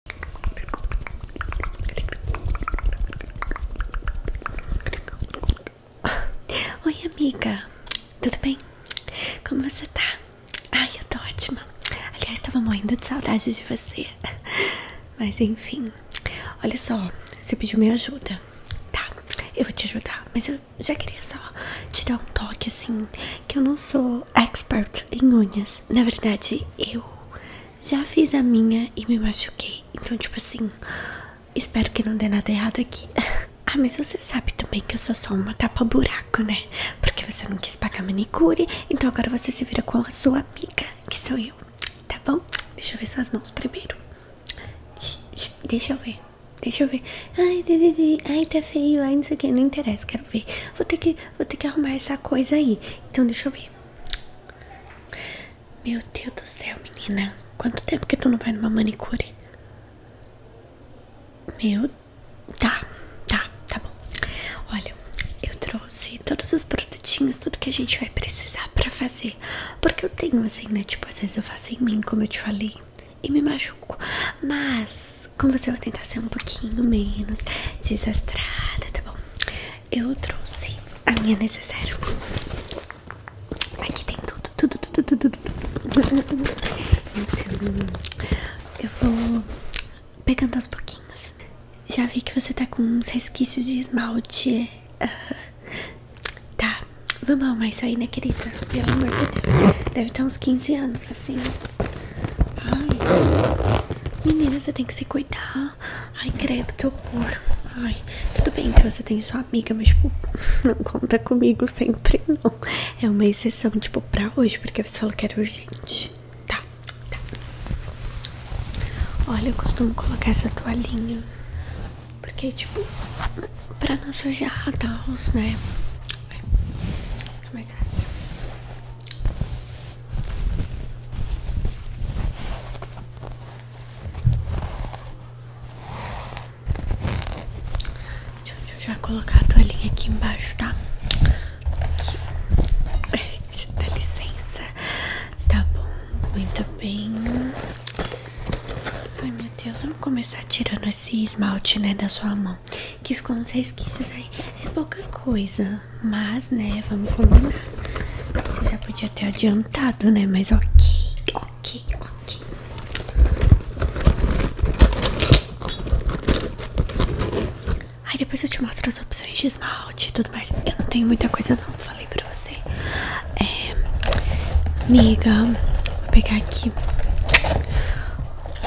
Oi, amiga, tudo bem? Como você tá? Ai, eu tô ótima. Aliás, tava morrendo de saudade de você. Mas enfim, olha só, você pediu minha ajuda. Tá, eu vou te ajudar, mas eu já queria só tirar um toque assim, que eu não sou expert em unhas. Na verdade, eu já fiz a minha e me machuquei. Então, tipo assim, espero que não dê nada errado aqui. Ah, mas você sabe também que eu sou só uma tapa-buraco, né? Porque você não quis pagar manicure, então agora você se vira com a sua amiga, que sou eu, tá bom? Deixa eu ver suas mãos primeiro. Deixa eu ver, deixa eu ver. Ai, ai, tá feio, ai, não sei o que, não interessa, quero ver. Vou ter que Vou ter que arrumar essa coisa aí. Então deixa eu ver. Meu Deus do céu, menina. Quanto tempo que tu não vai numa manicure? Meu. Tá, tá, tá bom. Olha, eu trouxe todos os produtinhos, tudo que a gente vai precisar pra fazer. Porque eu tenho assim, né? Tipo, às vezes eu faço em mim, como eu te falei, e me machuco. Mas com você eu vou tentar ser um pouquinho menos desastrada, tá bom? Eu trouxe a minha necessaire. Aqui tem tudo, tudo, tudo, tudo, tudo. Então, eu vou pegando aos pouquinhos. Já vi que você tá com uns resquícios de esmalte. Ah, tá, vamos arrumar isso aí, né, querida? Pelo amor de Deus. Deve estar tá uns 15 anos mas assim. Ai. Menina, você tem que se cuidar. Ai, credo, que horror. Ai, tudo bem que você tem sua amiga, mas, tipo, não conta comigo sempre, não. É uma exceção, tipo, pra hoje, porque você falou que era urgente. Tá, tá. Olha, eu costumo colocar essa toalhinha. Porque, tipo, pra não sujar a tá, né? É, é mais fácil. Deixa eu já colocar a toalhinha aqui embaixo, tá? Aqui. É, Dá licença. Tá bom, muito bem. Ai, meu Deus, vamos começar tirando esse esmalte, né, da sua mão que ficou uns resquícios aí. É pouca coisa, mas, né, vamos combinar. Você já podia ter adiantado, né, mas ok, ok, ok. Aí depois eu te mostro as opções de esmalte e tudo mais. Eu não tenho muita coisa não, falei pra você. É, amiga, vou pegar aqui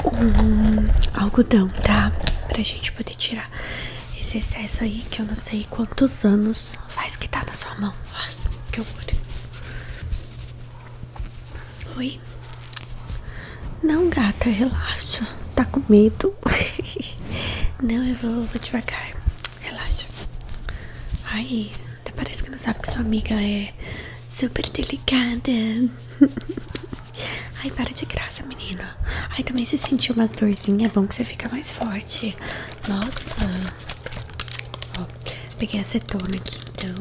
um algodão, tá? Pra gente poder tirar esse excesso aí que eu não sei quantos anos faz que tá na sua mão. Ai, que horror. Oi? Não, gata, relaxa. Tá com medo? não, eu vou, vou devagar. Relaxa. Ai, até parece que não sabe que sua amiga é super delicada. Ai, para de graça, menina. Ai, também se sentiu umas dorzinhas, é bom que você fica mais forte. Nossa. Ó, peguei cetona aqui, então.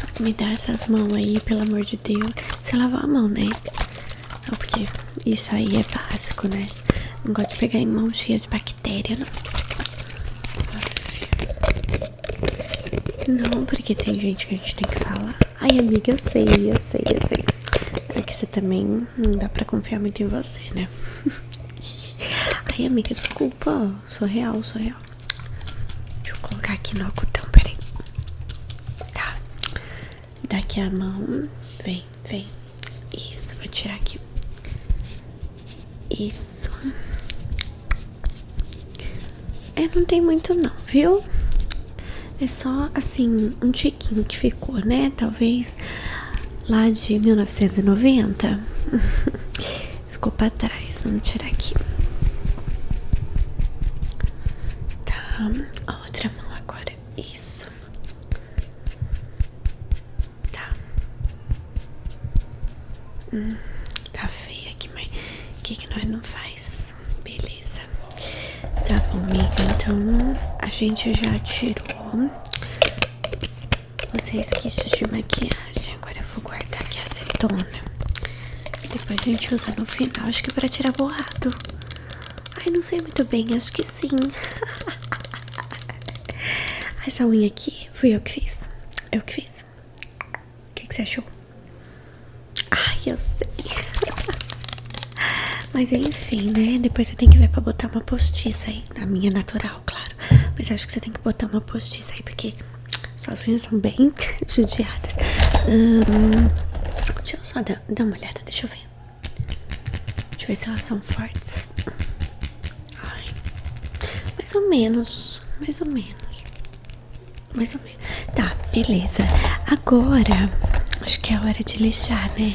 Tá, me dá essas mãos aí, pelo amor de Deus. Você lavou a mão, né? porque isso aí é básico, né? Não gosto de pegar em mão cheia de bactéria, não. Não, porque tem gente que a gente tem que falar. Ai, amiga, eu sei, eu sei, eu sei. É que você também não dá pra confiar muito em você, né? Ai, amiga, desculpa. Sou real, sou real. Deixa eu colocar aqui no algodão, peraí. Tá. Daqui a mão. Vem, vem. Isso, vou tirar aqui. Isso. É, não tem muito não, viu? É só, assim, um tiquinho que ficou, né? Talvez lá de 1990. Ficou pra trás, vamos tirar aqui. Tá, a outra mão agora. Isso. Tá. Hum, tá feia aqui, mas o que, nós não faz? Beleza. Tá bom, amiga. Então a gente já tirou os resquícios de maquiagem. Agora eu vou guardar aqui a acetona. Depois a gente usa no final. Acho que é pra tirar borrado. Ai, não sei muito bem. Acho que sim. Essa unha aqui fui eu que fiz. Eu que fiz. O que, que você achou? Ai, eu sei. Mas enfim, né? Depois você tem que ver pra botar uma postiça aí. Na minha natural, claro. Mas acho que você tem que botar uma postiça aí, porque suas unhas são bem judiadas. deixa eu só dar, dar uma olhada, deixa eu ver. Deixa eu ver se elas são fortes. Ai, mais ou menos, mais ou menos. Mais ou menos. Tá, beleza. Agora, acho que é hora de lixar, né?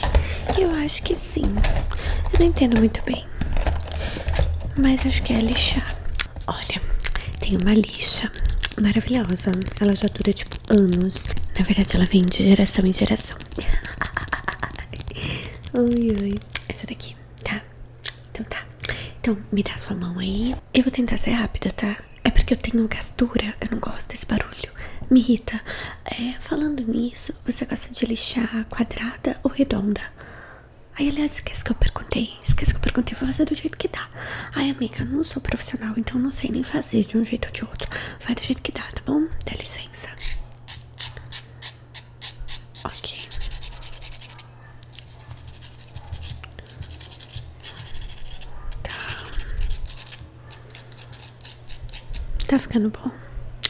Eu acho que sim. Eu não entendo muito bem. Mas acho que é lixar. Olha, tem uma lixa maravilhosa. Ela já dura tipo anos. Na verdade, ela vem de geração em geração. Ui, ui. Essa daqui, tá? Então tá. Então, me dá sua mão aí. Eu vou tentar ser rápida, tá? É porque eu tenho gastura. Eu não gosto desse barulho. Me irrita. É, falando nisso, você gosta de lixar quadrada ou redonda? Aí, aliás, esquece que eu perguntei. Esquece que eu perguntei, vou fazer do jeito que dá. Ai, amiga, não sou profissional, então não sei nem fazer de um jeito ou de outro. Vai do jeito que dá, tá bom? Dá licença. Ok. Tá. Tá ficando bom.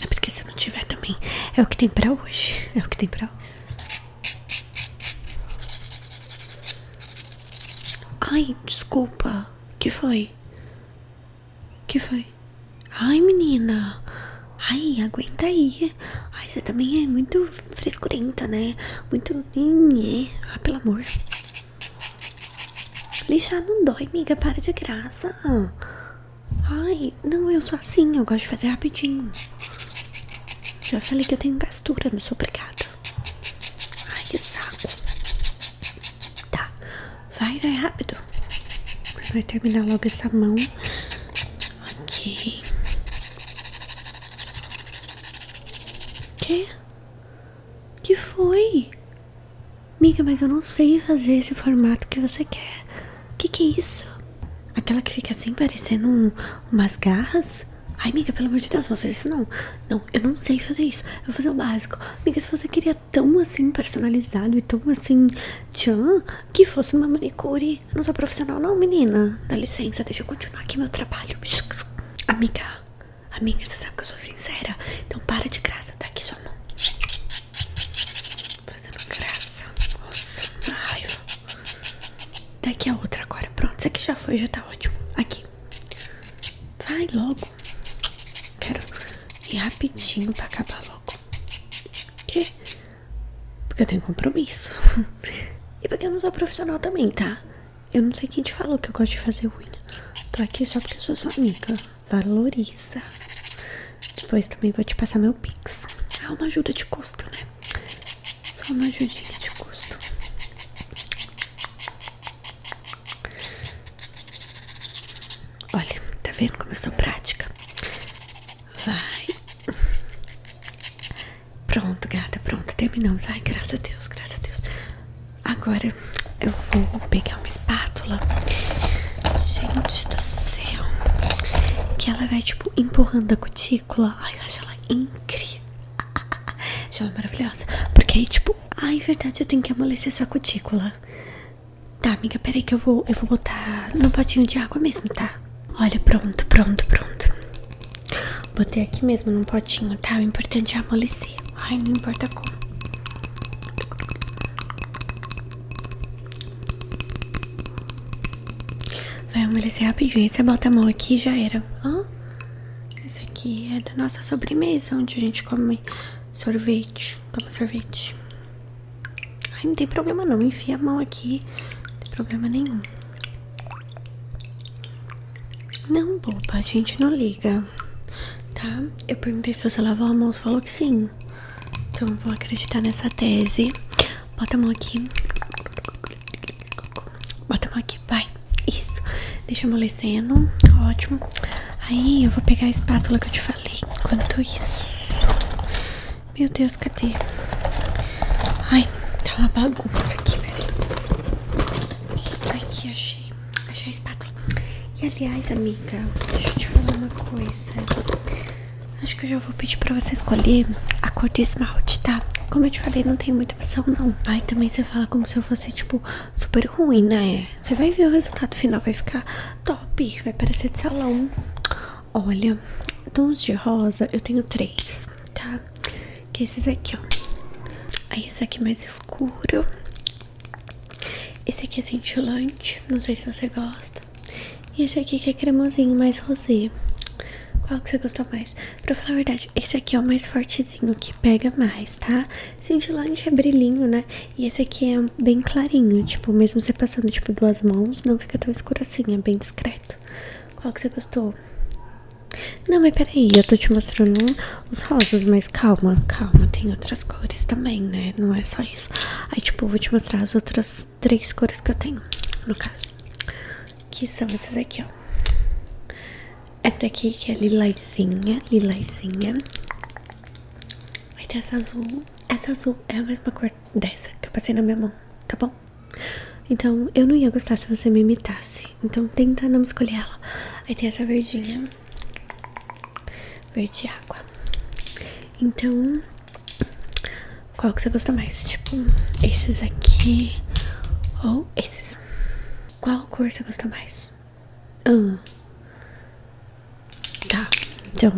É porque se não tiver também, é o que tem pra hoje. É o que tem pra hoje. Ai, desculpa. Que foi? Que foi? Ai, menina. Ai, aguenta aí. Ai, você também é muito frescurenta, né? Muito. Ah, pelo amor. Lixar não dói, amiga. Para de graça. Ai, não, eu sou assim. Eu gosto de fazer rapidinho. Já falei que eu tenho gastura, não sou obrigada. Ai, que saco. Tá, vai, vai rápido. Vai terminar logo essa mão. Ok. Que? Que foi? Miga, mas eu não sei fazer esse formato que você quer. Que que é isso? Aquela que fica assim parecendo um, umas garras? Ai, amiga, pelo amor de Deus, não vou fazer isso não. Não, eu não sei fazer isso. Eu vou fazer o básico. Amiga, se você queria tão assim personalizado e tão assim tchan, que fosse uma manicure. Eu não sou profissional não, menina. Dá licença, deixa eu continuar aqui meu trabalho. Amiga, amiga, você sabe que eu sou sincera. Então para de graça, dá tá aqui sua mão fazendo graça. Nossa, uma Daqui a outra agora. Pronto, isso aqui já foi, já tá ótimo. Aqui. Vai logo. Quero ir rapidinho pra acabar logo. Que? Porque eu tenho compromisso. e porque eu não sou profissional também, tá? Eu não sei quem te falou que eu gosto de fazer unha. Tô aqui só porque eu sou sua amiga. Valoriza. Depois também vou te passar meu pix. É uma ajuda de custo, né? Só não judique de custo. Olha, tá vendo como eu sou prática? Vai. Pronto, gata, pronto, terminamos. Ai, graças a Deus, graças a Deus. Agora eu vou pegar uma espátula. Gente do céu. Que ela vai tipo empurrando a cutícula. Ai, eu acho ela incrível. Acho ela maravilhosa. Porque aí, tipo, ai, verdade, eu tenho que amolecer sua cutícula. Tá, amiga, peraí que eu vou, eu vou botar no potinho de água mesmo, tá? Olha, pronto, pronto, pronto. Botei aqui mesmo num potinho, tá? O importante é amolecer. Ai, não importa como. Vai amolecer rapidinho. você bota a mão aqui e já era. Isso aqui é da nossa sobremesa, onde a gente come sorvete. Toma sorvete. Ai, não tem problema não. Enfia a mão aqui. Não tem problema nenhum. Não, boba, a gente não liga, tá? Eu perguntei se você lavou a mão, você falou que sim. Então vou acreditar nessa tese. Bota a mão aqui. Bota a mão aqui, vai. Isso. Deixa amolecendo. Ótimo. Aí eu vou pegar a espátula que eu te falei. Enquanto isso. Meu Deus, cadê? Ai, tá uma bagunça aqui, velho. Aqui, achei. Achei a espátula. E aliás, amiga, deixa eu te falar uma coisa. Acho que eu já vou pedir pra você escolher a cor do esmalte, tá? Como eu te falei, não tem muita opção, não. ai também você fala como se eu fosse, tipo, super ruim, né? Você vai ver o resultado final, vai ficar top, vai parecer de salão. Olha, tons de rosa eu tenho três, tá? Que é esses aqui, ó. Aí esse aqui é mais escuro. Esse aqui é cintilante, não sei se você gosta. E esse aqui que é cremosinho, mais rosé. Qual que você gostou mais? Pra falar a verdade, esse aqui é o mais fortezinho, que pega mais, tá? Cintilante é brilhinho, né? E esse aqui é bem clarinho, tipo, mesmo você passando, tipo, duas mãos, não fica tão escuro assim, é bem discreto. Qual que você gostou? Não, mas peraí, eu tô te mostrando os rosas, mas calma, calma, tem outras cores também, né? Não é só isso. Aí, tipo, vou te mostrar as outras três cores que eu tenho, no caso. Que são essas aqui, ó. Essa daqui que é lilazinha, lilazinha. aí tem essa azul. Essa azul é a mesma cor dessa que eu passei na minha mão, tá bom? Então, eu não ia gostar se você me imitasse. Então, tenta não escolher ela. Aí tem essa verdinha verde água. Então, qual que você gosta mais? Tipo, esses aqui ou esses? Qual cor você gosta mais? Ah, tá. Então,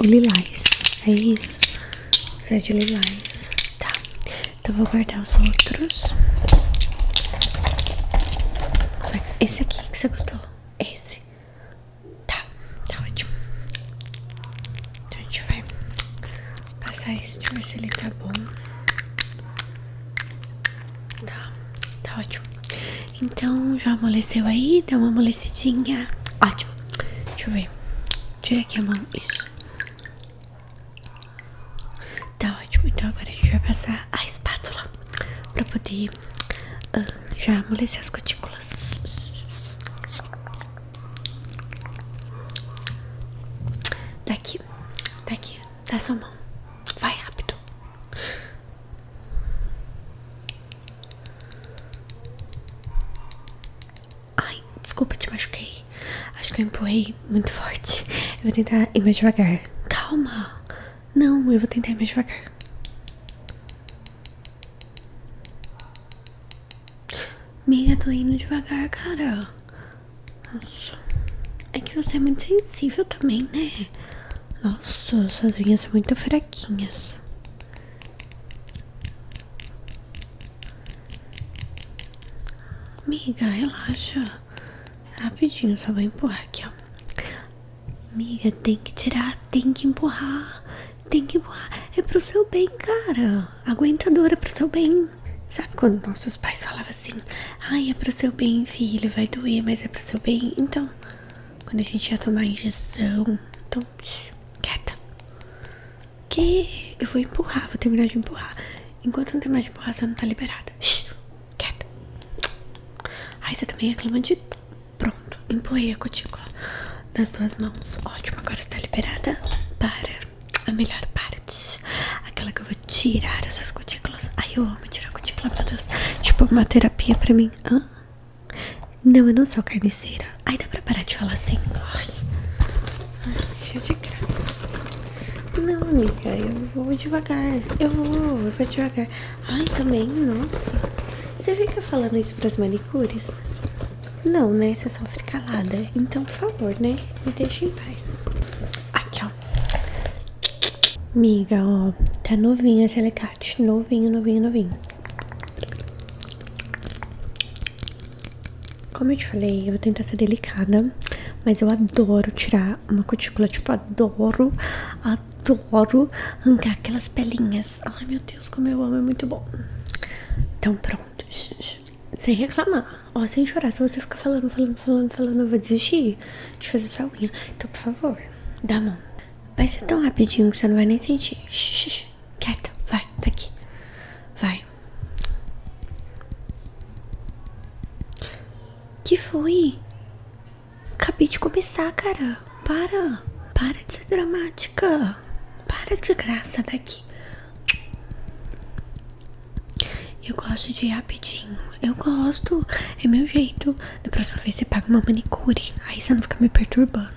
o lilás. É isso? Você é de lilás. Tá. Então, vou guardar os outros. Esse aqui que você gostou? Esse. Tá, tá ótimo. Então a gente vai passar isso, deixa eu ver se ele tá bom. Tá, tá ótimo. Então já amoleceu aí, dá uma amolecidinha. Ótimo. Deixa eu ver. Tira aqui a mão, isso. Tá ótimo, então agora a gente vai passar a espátula pra poder ah, já amolecer as cutículas. Daqui, daqui, da sua mão, vai rápido. Ai, desculpa, te machuquei. Acho que eu empurrei muito forte. Eu vou tentar ir mais devagar. Calma! Não, eu vou tentar ir mais devagar. Amiga, tô indo devagar, cara. Nossa. É que você é muito sensível também, né? Nossa, suas unhas são muito fraquinhas. Amiga, relaxa. Rapidinho, só vou empurrar aqui, ó. Amiga, tem que tirar, tem que empurrar, tem que empurrar. É pro seu bem, cara. Aguentadora é pro seu bem. Sabe quando nossos pais falavam assim? Ai, é pro seu bem, filho, vai doer, mas é pro seu bem. Então, quando a gente ia tomar injeção, então, quieta. Que eu vou empurrar, vou terminar de empurrar. Enquanto não terminar de empurrar, você não tá liberada. Shh, quieta. Aí você também reclama de pronto. Empurrei a cutícula nas duas mãos. Ótimo, agora está liberada para a melhor parte. Aquela que eu vou tirar as suas cutículas. Ai, eu amo tirar cutícula, meu Deus. Tipo, uma terapia pra mim. Não, eu não sou carniceira. Ai, dá pra parar de falar assim? Ai, cheio de graça. Não, amiga, eu vou devagar. Eu vou, eu vou devagar. Ai, também, nossa. Você fica falando isso pras manicures? Não, né? Você só fica calada. Então, por favor, né? Me deixa em paz. Aqui, ó. Miga, ó. Tá novinho esse alicate. Novinho, novinho, novinho. Como eu te falei, eu vou tentar ser delicada. Mas eu adoro tirar uma cutícula. Tipo, adoro, adoro arrancar aquelas pelinhas. Ai meu Deus, como eu amo, é muito bom. Então pronto, sem reclamar, ó, sem chorar. Se você ficar falando, falando, falando, falando, eu vou desistir de fazer sua unha. Então, por favor, dá a mão. Vai ser tão rapidinho que você não vai nem sentir. Quieta, vai, daqui. Vai. Que foi? Acabei de começar, cara. Para. Para de ser dramática. Para de graça daqui. Eu gosto de ir rapidinho. Eu gosto. É meu jeito. Da próxima vez você paga uma manicure. Aí você não fica me perturbando.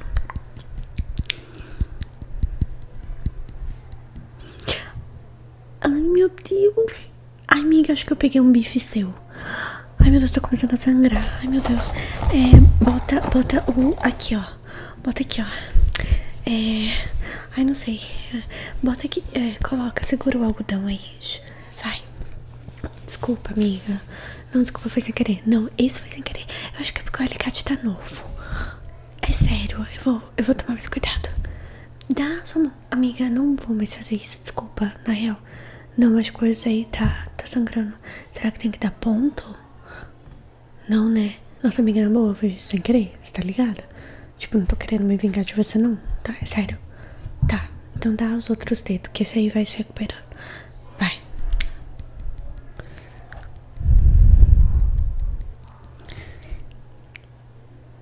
Ai, meu Deus. Ai, amiga, acho que eu peguei um bife seu. Ai, meu Deus, tá começando a sangrar. Ai, meu Deus. É, bota, bota o... Aqui, ó. Bota aqui, ó. É... Ai, não sei. Bota aqui. É, coloca, segura o algodão aí. Vai. Desculpa, amiga. Não, desculpa, foi sem querer. Não, esse foi sem querer. Eu acho que é porque o alicate tá novo. É sério, eu vou, eu vou tomar mais cuidado. Dá sua mão. Amiga, não vou mais fazer isso desculpa, na real. Não, as coisas aí tá, tá sangrando. Será que tem que dar ponto? Não, né? Nossa amiga na boa, eu sem querer, você tá ligada? Tipo, não tô querendo me vingar de você não, tá? É sério. Tá, então dá os outros dedos, que esse aí vai se recuperando. Vai.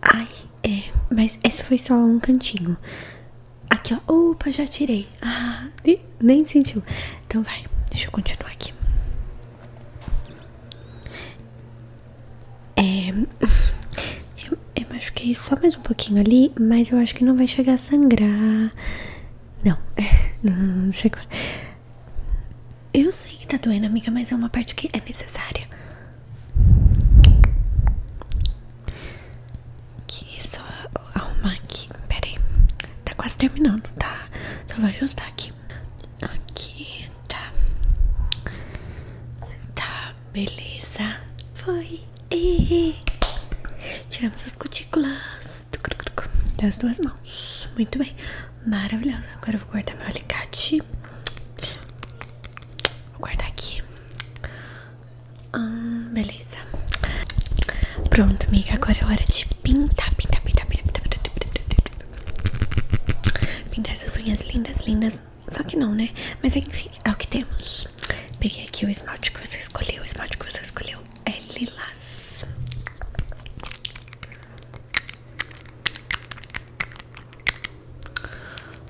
Ai, é, mas esse foi só um cantinho. Aqui, ó. Opa, já tirei. Ah, nem sentiu. Então vai, deixa eu continuar aqui. É, eu, eu machuquei só mais um pouquinho ali, mas eu acho que não vai chegar a sangrar. Não, não, não chegou. Eu sei que tá doendo, amiga, mas é uma parte que é necessária. Que só arrumar aqui. Pera Tá quase terminando, tá? Só vou ajustar aqui. Aqui, tá. Tá, beleza. Foi. Tiramos as cutículas das duas mãos. Muito bem. Maravilhosa. Agora eu vou guardar meu alicate. Vou guardar aqui. Hum, beleza. Pronto, amiga. Agora é hora de pintar, pintar, pintar, pintar, pintar, pintar. Pintar essas unhas lindas, lindas. Só que não, né? Mas enfim, é o que temos. Peguei aqui o esmalte que você escolheu. O esmalte que você escolheu é lilás.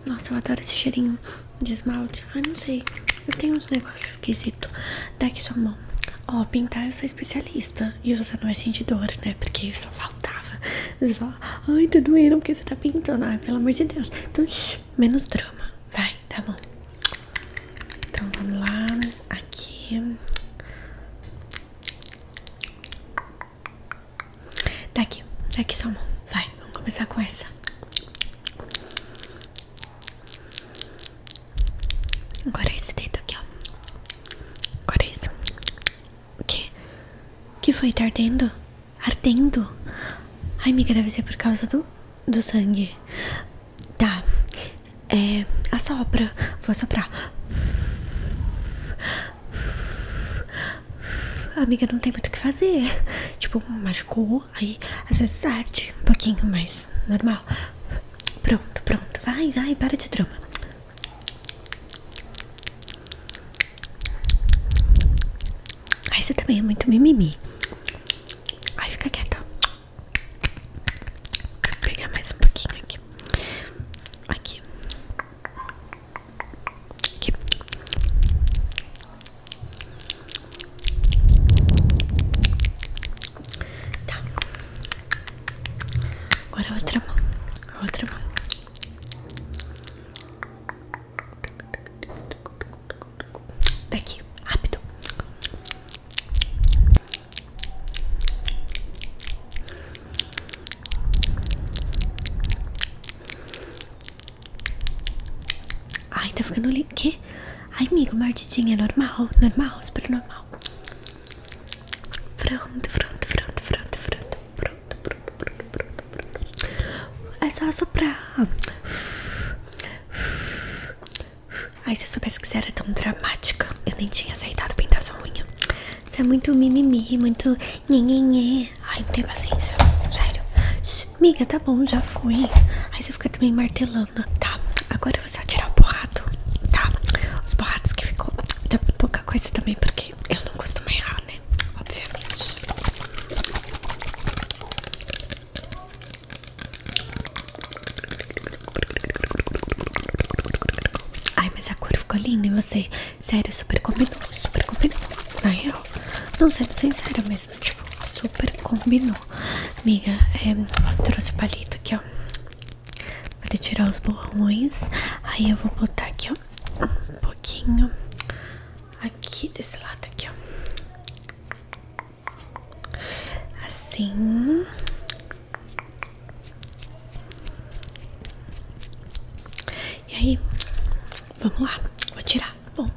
Nossa, eu adoro esse cheirinho de esmalte. Ai, não sei. Eu tenho uns negócios esquisitos. daqui sua mão. Ó, pintar eu sou especialista. E você não é sentir dor, né? Porque só faltava. ai, tá doendo porque você tá pintando. Ai, pelo amor de Deus. Então, menos drama. Vai, tá bom. Então, vamos lá. Aqui. Daqui, tá daqui tá só uma. Vai, vamos começar com essa. Agora esse dedo aqui, ó. Agora isso O que? O que foi? Tá ardendo? Ardendo? Ai, amiga, deve ser por causa do, do sangue. Tá. É. Assopra. Vou assoprar. Amiga, não tem muito o que fazer. Tipo, machucou, aí às vezes arde um pouquinho mais normal. Pronto, pronto. Vai, vai, para de drama. Aí você também é muito mimimi. Aí fica quieta. Deixa pegar mais um pouquinho aqui. Aqui. Tá. Agora outra mão. outra mão. Daqui, rápido. Ai, tá ficando lindo. Que? Ai, amigo, mordidinha é normal, normal, super normal. Pronto, pronto, pronto, pronto, pronto, pronto, pronto, pronto, pronto, pronto. É só soprar. Ai, se eu soubesse que você era tão dramática, eu nem tinha aceitado pintar sua unha. Você é muito mimimi, muito nhenhenhê. Ai, não tem paciência. Sério. miga, tá bom, já foi. Aí você fica também martelando. Tá, agora você vai tirar o borrado. Tá, os borrados que ficou. Tá pouca coisa também, porque eu não costumo errar, né? Obviamente. Ai, mas a cor ficou linda e você Sério, super combinou, super combinou. Na real, não sendo sincera mesmo, tipo, super combinou. Amiga, é, trouxe o palito aqui, ó. Para tirar os borrões. Aí eu vou botar aqui, ó. Um pouquinho. Aqui desse lado aqui, ó. Assim. E aí, vamos lá, vou tirar. Bom,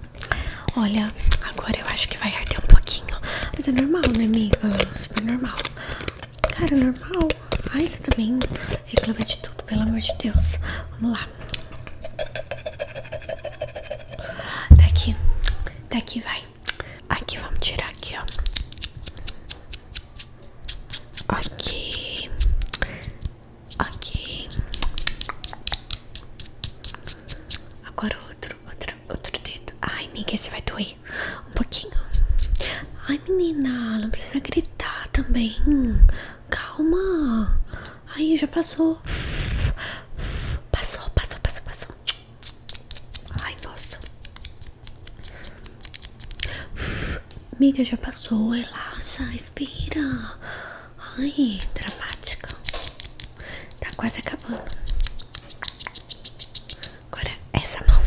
olha, agora eu acho que vai arder um pouquinho. Mas é normal, né, amiga? Super normal. Cara, normal. Ai, você também reclama de tudo, pelo amor de Deus. Vamos lá. Daqui, daqui vai. Aqui, vamos tirar aqui, ó. Ok. Ok. Agora outro, outro, outro dedo. Ai, menina, esse vai doer um pouquinho. Ai, menina, não precisa gritar também. Calma. Aí já passou. Passou, passou, passou, passou. Ai, nossa. Amiga, já passou, relaxa, é respira. Ai, dramática. Tá quase acabando. Agora, essa mão.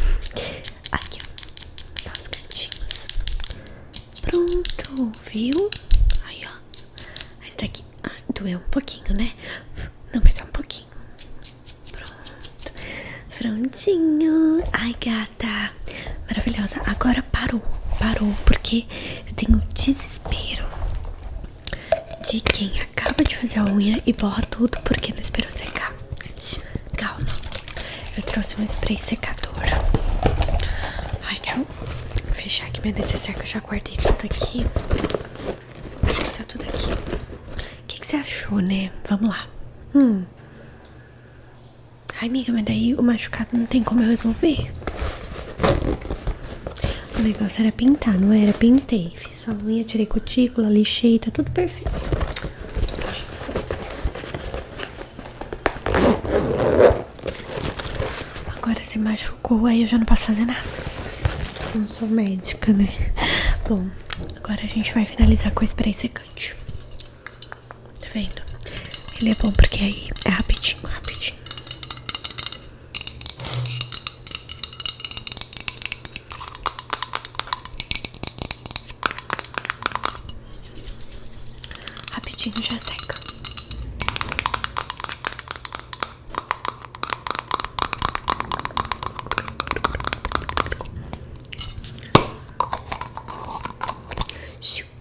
Aqui, ó. Só os cantinhos. Pronto, viu? Aí, ó. Essa daqui. Ah, doeu um pouquinho, né? Não, mas só um pouquinho. Pronto. Prontinho. Ai, gata. Maravilhosa. Agora parou. Parou. Porque eu tenho desespero de quem acaba de fazer a unha e borra tudo porque não esperou secar. Calma. Eu trouxe um spray secador. Ai, deixa eu fechar aqui minha DCC que eu já guardei tudo aqui. Acho que tá tudo aqui. O que, que você achou, né? Vamos lá. Hum. Ai, amiga, mas daí o machucado não tem como eu resolver. O negócio era pintar, não era? Pintei. Fiz a unha, tirei cutícula, lixei, tá tudo perfeito. Agora você machucou, aí eu já não posso fazer nada. Não sou médica, né? Bom, agora a gente vai finalizar com o spray secante. Tá vendo? Ele é bom porque aí é rapidinho, rapidinho. Rapidinho já seca.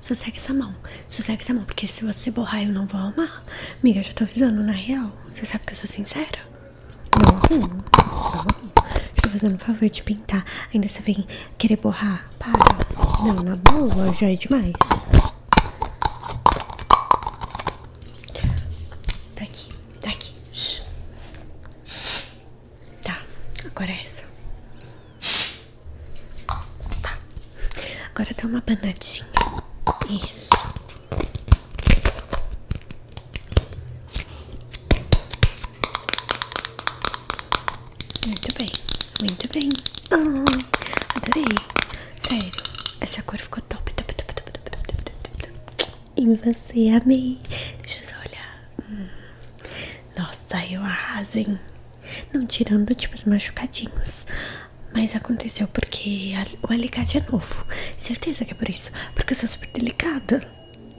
Sossega essa mão, sossega essa mão, porque se você borrar eu não vou arrumar. Miga, eu já tô avisando, na real. Você sabe que eu sou sincera? Não arrumo, não Tô fazendo o favor de pintar. Ainda você vem querer borrar. Para. Não, na boa, já é demais. Tá aqui, tá aqui. Tá, agora é essa. Tá. Agora dá uma banadinha. Isso. Muito bem, muito bem. Oh, adorei. Sério, essa cor ficou top. top, top, top, top, top, top, top e você, amei. Deixa eu só olhar. Hum. Nossa, eu arrasem. Não tirando tipo os machucadinhos. Mas aconteceu porque o alicate é novo. Certeza que é por isso. Porque eu sou super delicada.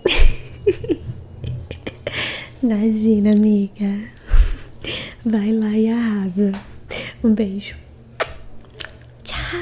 Imagina, amiga. Vai lá e arrasa. Um beijo. Tchau.